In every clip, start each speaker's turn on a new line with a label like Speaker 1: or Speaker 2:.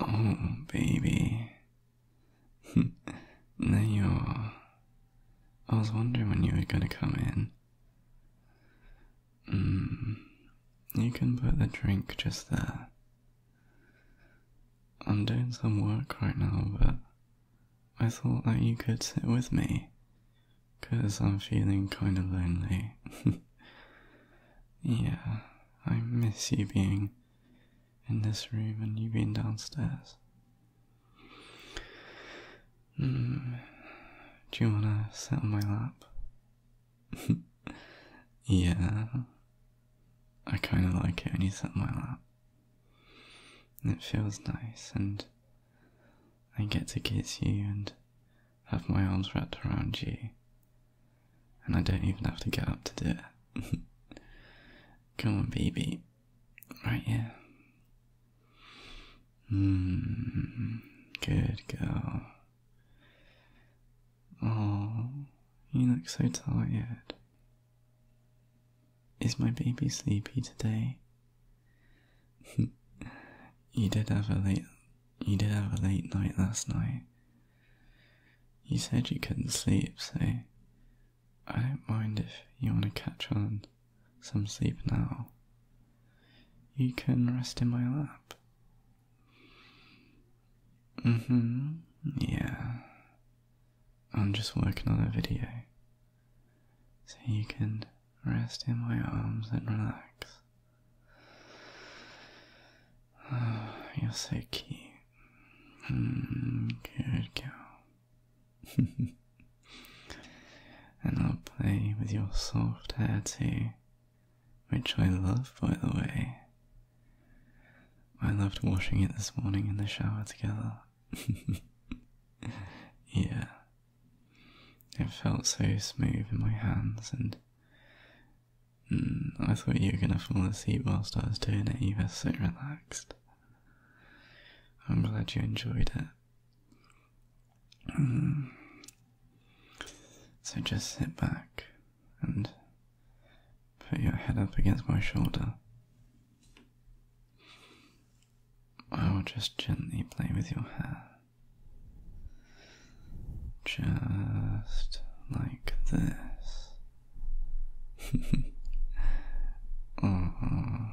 Speaker 1: Oh, baby. there you are. I was wondering when you were going to come in. Mm, you can put the drink just there. I'm doing some work right now, but I thought that you could sit with me, cause I'm feeling kinda lonely. yeah, I miss you being in this room and you being downstairs. Hmm, do you wanna sit on my lap? yeah. I kinda like it when you sit on my lap. It feels nice, and I get to kiss you and have my arms wrapped around you, and I don't even have to get up to do it. Come on, baby, right here. Mm, good girl. Oh, you look so tired. Is my baby sleepy today? you did have a late you did have a late night last night. You said you couldn't sleep, so I don't mind if you want to catch on some sleep now. You can rest in my lap. Mm hmm. Yeah. I'm just working on a video so you can rest in my arms and relax. you're so cute. Hmm, good girl. and I'll play with your soft hair too, which I love by the way. I loved washing it this morning in the shower together. yeah. It felt so smooth in my hands, and mm, I thought you were gonna fall asleep whilst I was doing it. You were so relaxed. I'm glad you enjoyed it. Mm. so just sit back, and put your head up against my shoulder. I will just gently play with your hair. Just like this. oh,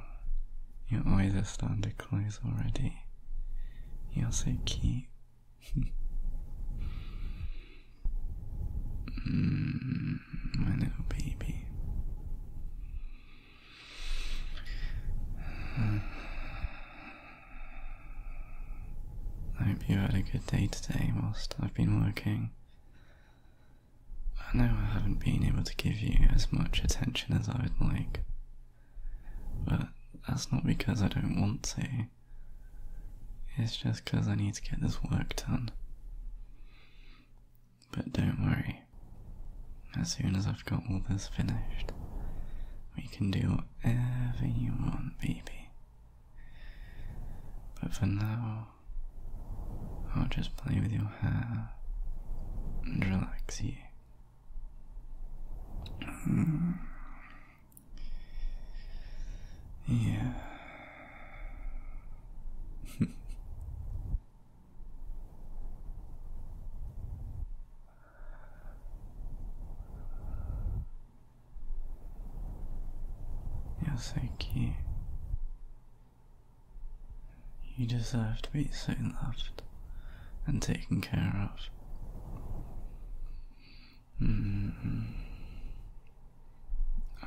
Speaker 1: your eyes are to close already. You're so cute. Hmm. my little baby. I hope you had a good day today whilst I've been working. I know I haven't been able to give you as much attention as I would like, but that's not because I don't want to. It's just because I need to get this work done. But don't worry, as soon as I've got all this finished, we can do whatever you want, baby. But for now, I'll just play with your hair and relax you. Yeah. You're so cute. You deserve to be so loved and taken care of. Mm-hmm.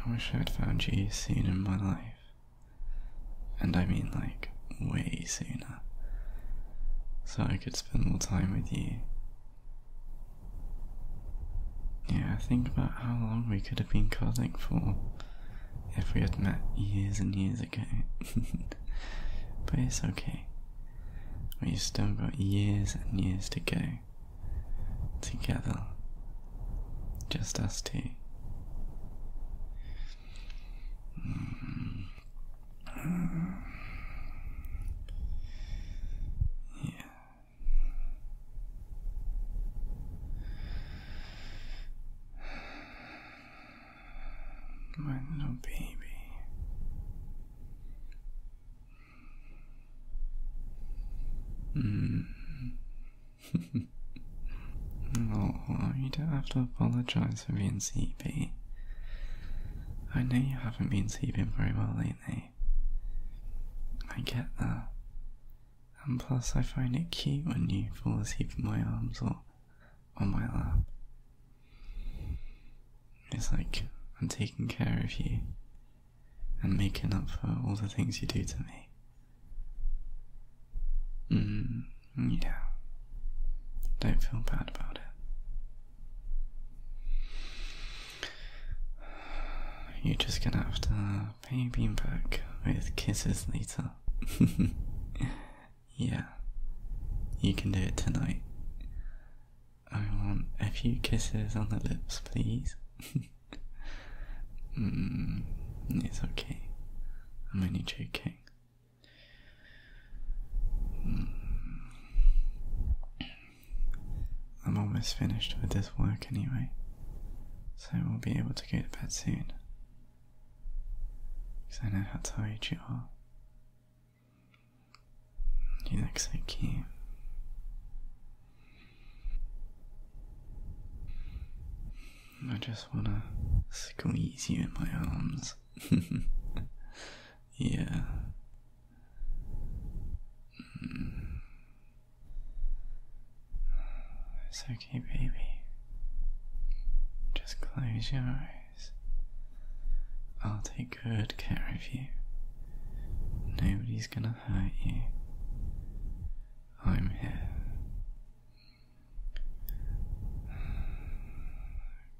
Speaker 1: I wish I'd found you sooner in my life. And I mean, like, way sooner. So I could spend more time with you. Yeah, I think about how long we could have been cuddling for if we had met years and years ago. but it's okay. We still got years and years to go together, just us two. Hmm. Yeah my little baby. Mm. oh, you don't have to apologize for being sleepy. I know you haven't been sleeping very well lately. I get that. And plus, I find it cute when you fall asleep in my arms or on my lap. It's like I'm taking care of you and making up for all the things you do to me. Mm, yeah. Don't feel bad about it. You're just gonna have to pay me back with kisses later. Yeah, you can do it tonight. I want a few kisses on the lips, please. Hmm, it's okay. I'm only joking. Mm. I'm almost finished with this work anyway, so we'll be able to go to bed soon. Because I know how tired you are. You look so cute. I just want to squeeze you in my arms. yeah. Mm. So okay, baby. Just close your eyes. I'll take good care of you. Nobody's gonna hurt you. I'm here.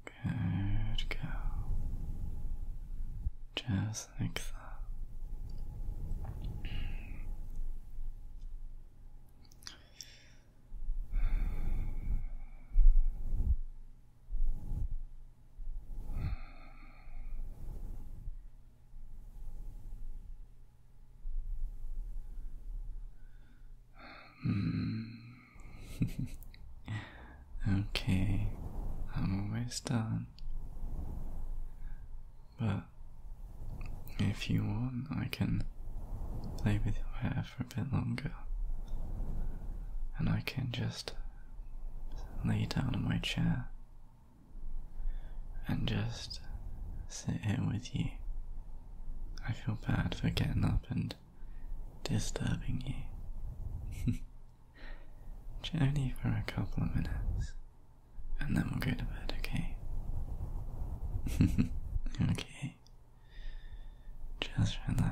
Speaker 1: Good girl. Just like that. Hmm. okay, I'm almost done. But if you want, I can play with your hair for a bit longer. And I can just lay down in my chair and just sit here with you. I feel bad for getting up and disturbing you. only for a couple of minutes and then we'll go to bed, okay? okay. Just relax.